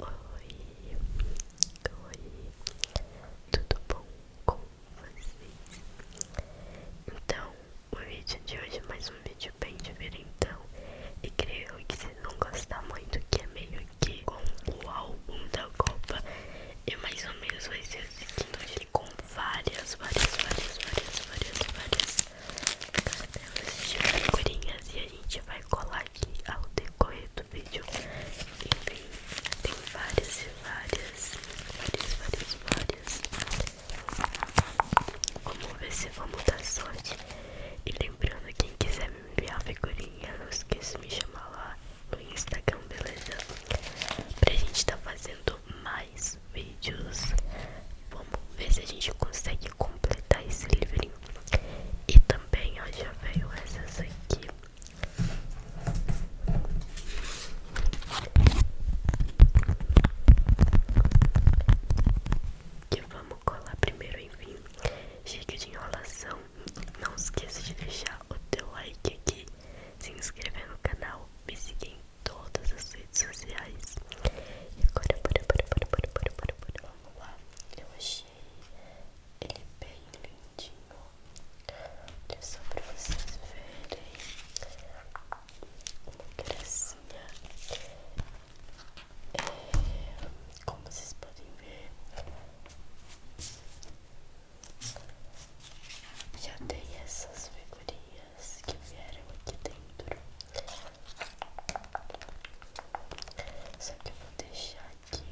Oi, oi, tudo bom com vocês? Então, o vídeo de hoje é mais um vídeo bem diferentão E creio que vocês não gostar muito, que é meio que com o álbum da Copa E é mais ou menos vai ser então ele com várias, várias, várias, várias, várias, várias cartelas de figurinhas e a gente vai colar aqui ao decorrer do vídeo. Enfim, tem várias e várias, várias, várias, várias. Vamos ver se vamos dar sorte. E lembrando, quem quiser me enviar figurinha, não esqueça de me chamar lá no Instagram, beleza? Pra gente tá fazendo mais vídeos. Vamos ver se a gente consegue completar esse livrinho. E também, ó, já veio essas aqui. Que vamos colar primeiro, enfim. Chega de enrolação. Não esqueça de deixar o teu like aqui se inscrever no canal, me seguir em todas as redes sociais. E agora, bora, bora, bora, bora, bora, bora, bora, vamos lá. Eu achei ele bem lindinho. Olha só para vocês verem. Uma gracinha. É, como vocês podem ver, já tem essas figurinhas que vieram aqui dentro. Só que eu vou deixar aqui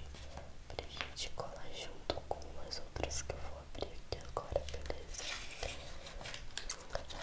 pra gente colar junto com as outras que eu vou abrir aqui agora, beleza? Vamos lá.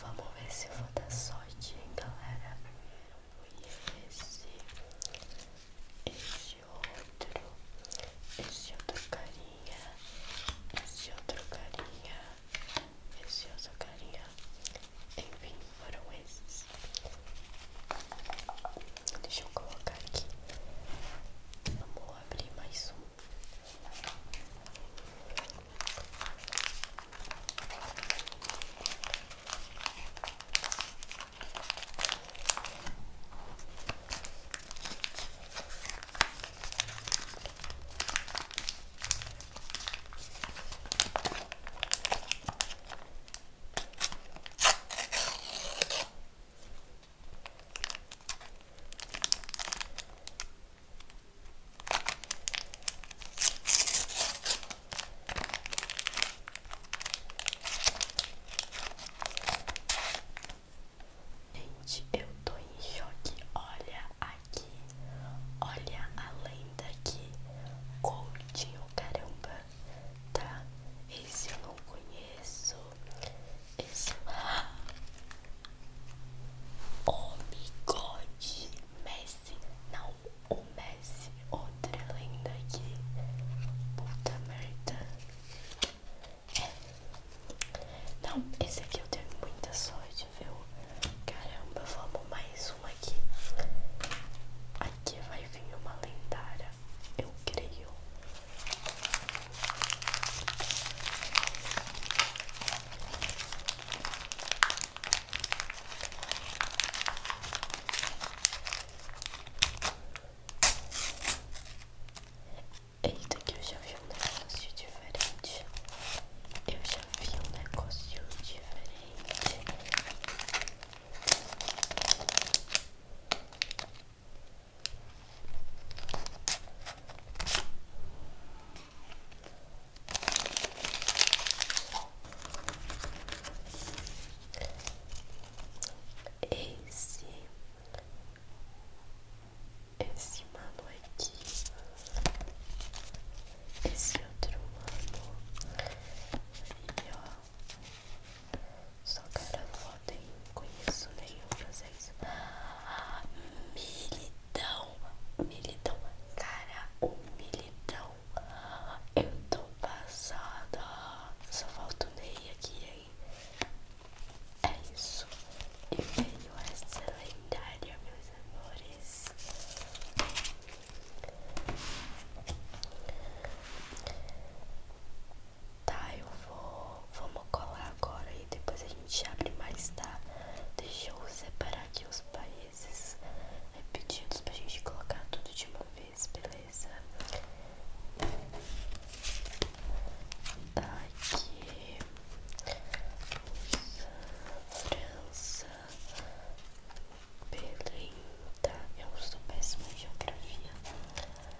Vamos ver se eu vou dar sorte, hein, galera? E esse, esse outro, esse outro carinha, esse outro carinha, esse outro carinha. Enfim, foram esses. Deixa eu colocar aqui. Vamos abrir mais um. Gente, eu tô em choque. Olha aqui, olha além daqui aqui. Coutinho, caramba, tá? Esse eu não conheço. Esse o bigode Messi, não o Messi, outra lenda aqui. Puta merda. É. Não, esse aqui eu tenho muita sorte, viu? Caramba, vamos mais um aqui. Aqui vai vir uma lendária, eu creio. Eita, que eu já vi um negócio diferente. Eu já vi um negócio diferente. Esse, esse mano aqui, esse outro mano, e ó, só cara foda, hein? Conheço nenhum francês. Ah, milidão, militão, cara, humilidão, Eu tô passada. Só falta o Ney aqui, hein? É isso. E veio essa lendária, meus amores. Tá, eu vou. Vamos colar agora e depois a gente abre mais, tá? Deixa eu separar aqui os países é, pedidos pra gente colocar tudo de uma vez, beleza? Tá aqui. França. Belém, tá? Eu sou péssima em geografia.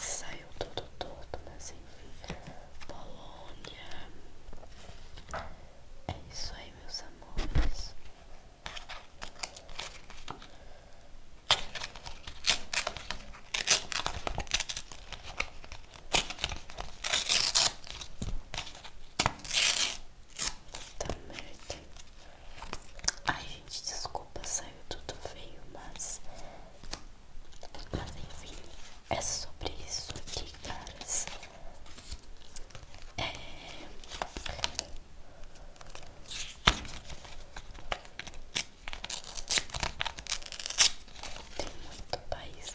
Saiu todo todo, né? mas enfim, Polônia. É isso aí, meus amores. Puta merda. Ai, gente, desculpa, saiu tudo feio, mas. Mas enfim, é sobre isso aqui, caras. É. Tem muito país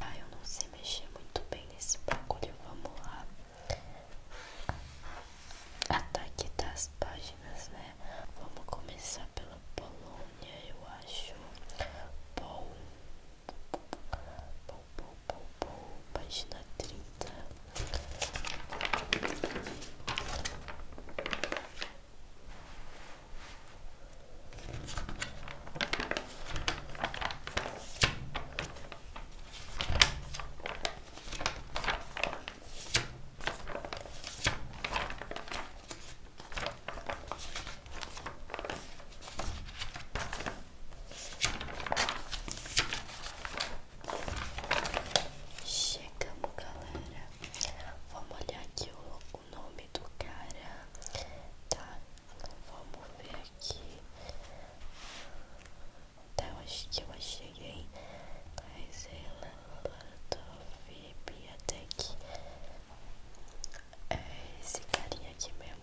Ah, eu não sei mexer muito bem nesse bagulho. Vamos lá. Ataque das páginas, né? Vamos começar pela Polônia, eu acho. Bom. Bom, bom, bom, Página 30. Chegamos, galera. Vamos olhar aqui o, nome do cara, tá? Vamos ver aqui. Até eu acho que eu cheguei. Traz ela para VIP até aqui. É esse carinha aqui mesmo.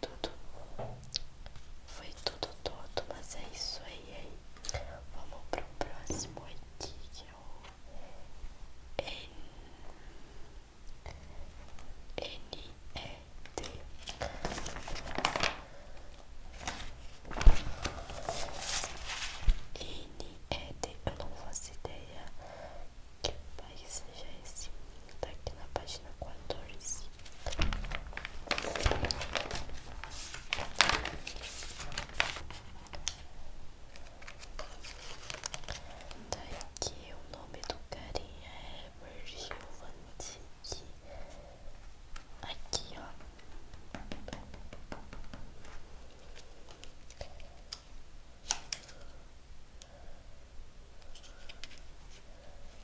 tudo. Foi tudo todo, mas é isso aí, aí. É Vamos pro próximo aqui que é o N N E D. N E D. Eu não faço ideia que país seja esse. Tá aqui na página quatorze. Tá aqui o nome do carinha é Virgil Van Aqui, ó.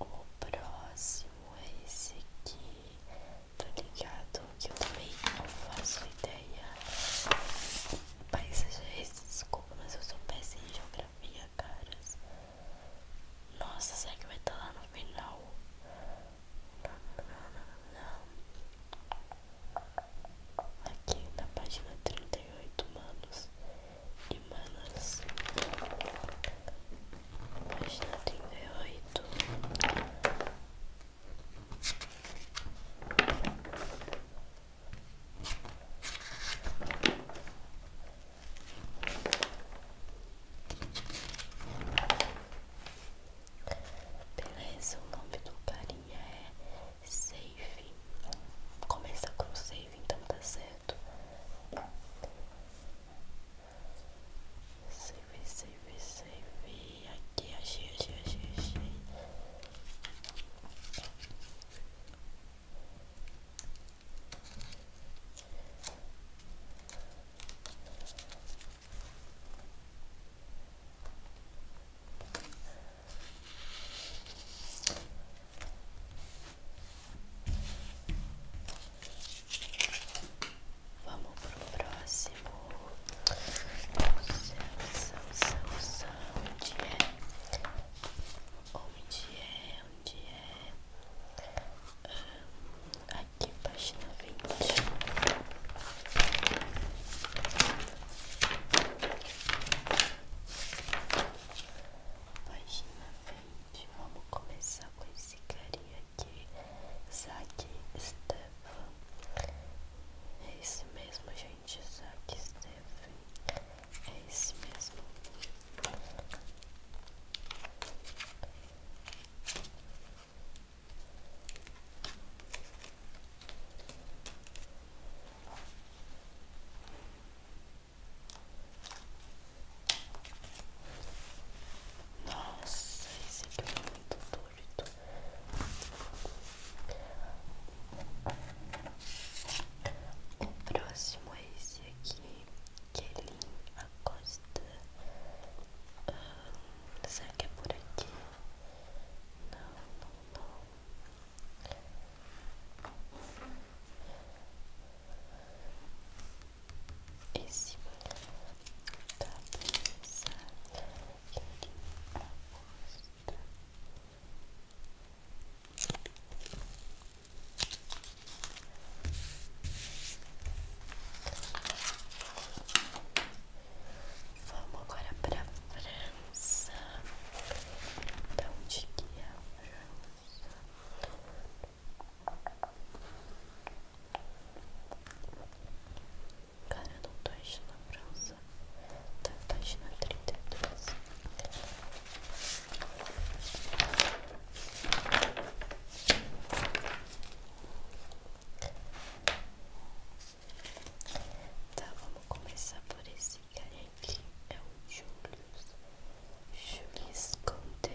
O próximo é esse aqui. tá ligado que eu também não faço ideia. seja esse desculpa, mas eu sou péssimo em geografia. Mia Caras. Nossa, será que vai estar tá lá no final? Aqui na página trinta e oito manos de manas. Página trinta e oito Beleza, o nome do carinha é Safe. Começa com Save, então tá certo. Safe, save, save. Aqui, achei, achei, achei, achei. Vamos pro próximo. São, são, são, onde é? Onde é? onde é ah, aqui, página vinte Página vinte vamos começar com esse carinha aqui, Zack Stefan. É isso mesmo, gente, Zack Stefan. É isso mesmo. Nossa, esse aqui é muito doido. O próximo é esse aqui, que ele Acosta. Ah, será que é por aqui? Não, não, não. Esse tá da que ele Acosta. Vamos agora para França. Então, de que é a França? Cara, eu não tô achando a França. Tá, tá e 32. Tá, vamos começar por esse cara aqui. É o Julius. Julius Conte.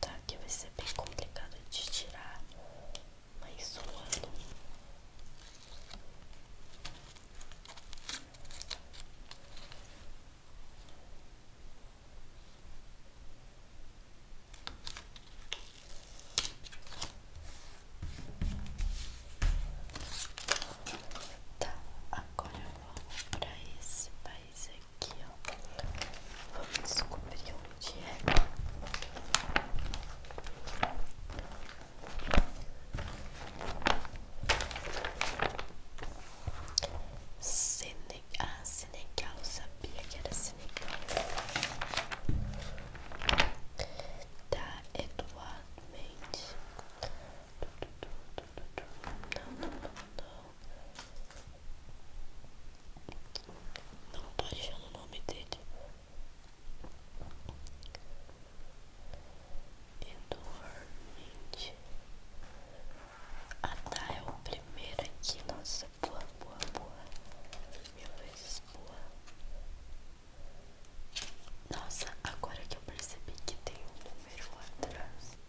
Tá, que vai ser bem complicado de tirar, mas suando. Tá, agora vamos para esse país aqui aqui, Vamos descobrir onde é. Senegal, ah, Senegal, sabia que era Senegal. Da Eduardo Mendes. Não, não, não, não. Não tô achando o nome dele. Eduardo. Ah tá, é o primeiro aqui. Nossa, boa, boa, boa. Mil vezes boa. Nossa, agora que eu percebi que tem um número atrás.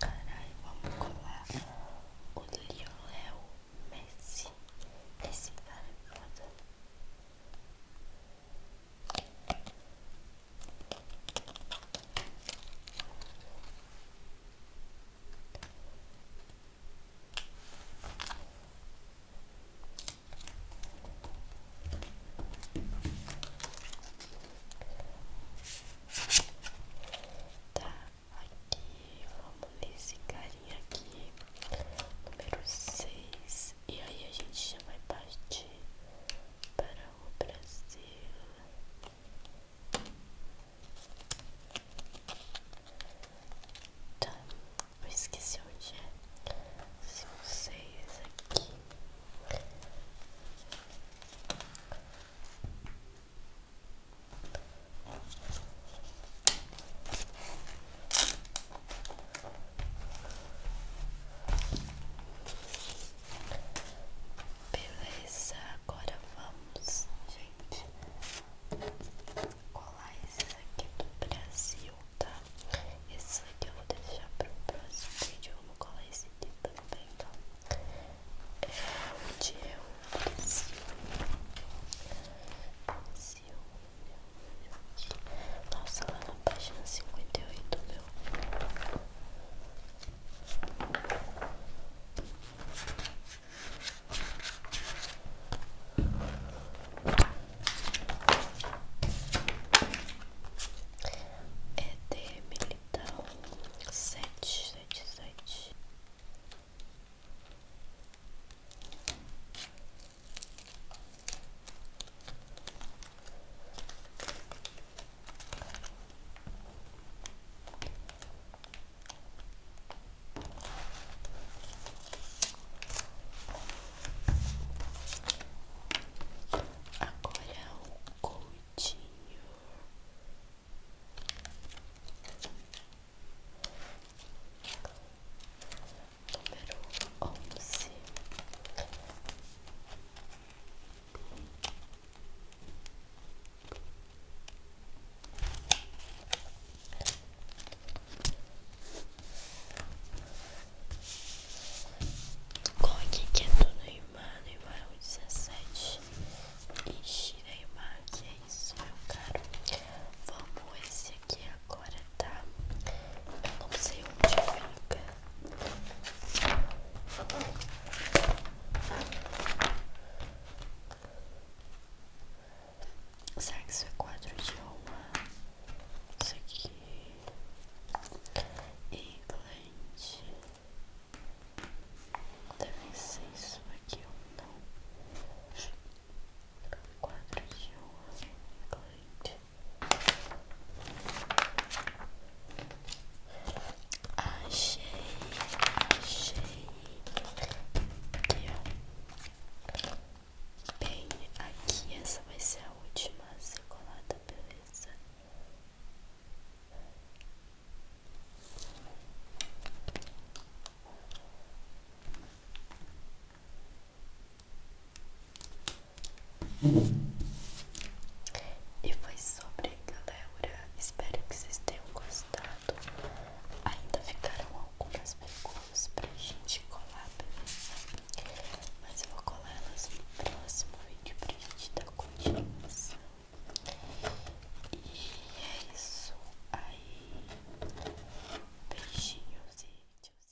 Caralho, vamos colar o Lionel Messi. Esse cara é foda. Tá, aqui, vamos nesse carinha aqui, número seis e aí a gente já vai partir para o Brasil. Tá, eu esqueci onde é. São seis aqui. Beleza, agora vamos, gente, colar esses aqui do Brasil, tá? Esse aqui eu vou deixar para o próximo vídeo. Vamos colar esse aqui também, tá? É onde eu pressiono. Pressiono. Nossa, lá na página cinquenta e oito, meu. Nossa, ED é Militão sete sete Agora o Coutinho. Número onze. Coloquei é aqui que é tudo Neymar, Neymar 17 e Shireimar, que é isso, meu caro. Vamos esse aqui agora, tá? Eu não sei onde fica. Será que isso é quadro de alma? Isso aqui. Implante. Deve ser isso aqui ou não. Quatro de honra. Achei, achei aqui, ó. Bem, aqui essa vai ser a última a beleza. E foi sobre, galera. Espero que vocês tenham gostado. Ainda ficaram algumas perguntas pra gente colar, beleza? mas eu vou colar elas no próximo vídeo pra gente dar continuação. E é isso aí. Beijinhos e tchauzinho.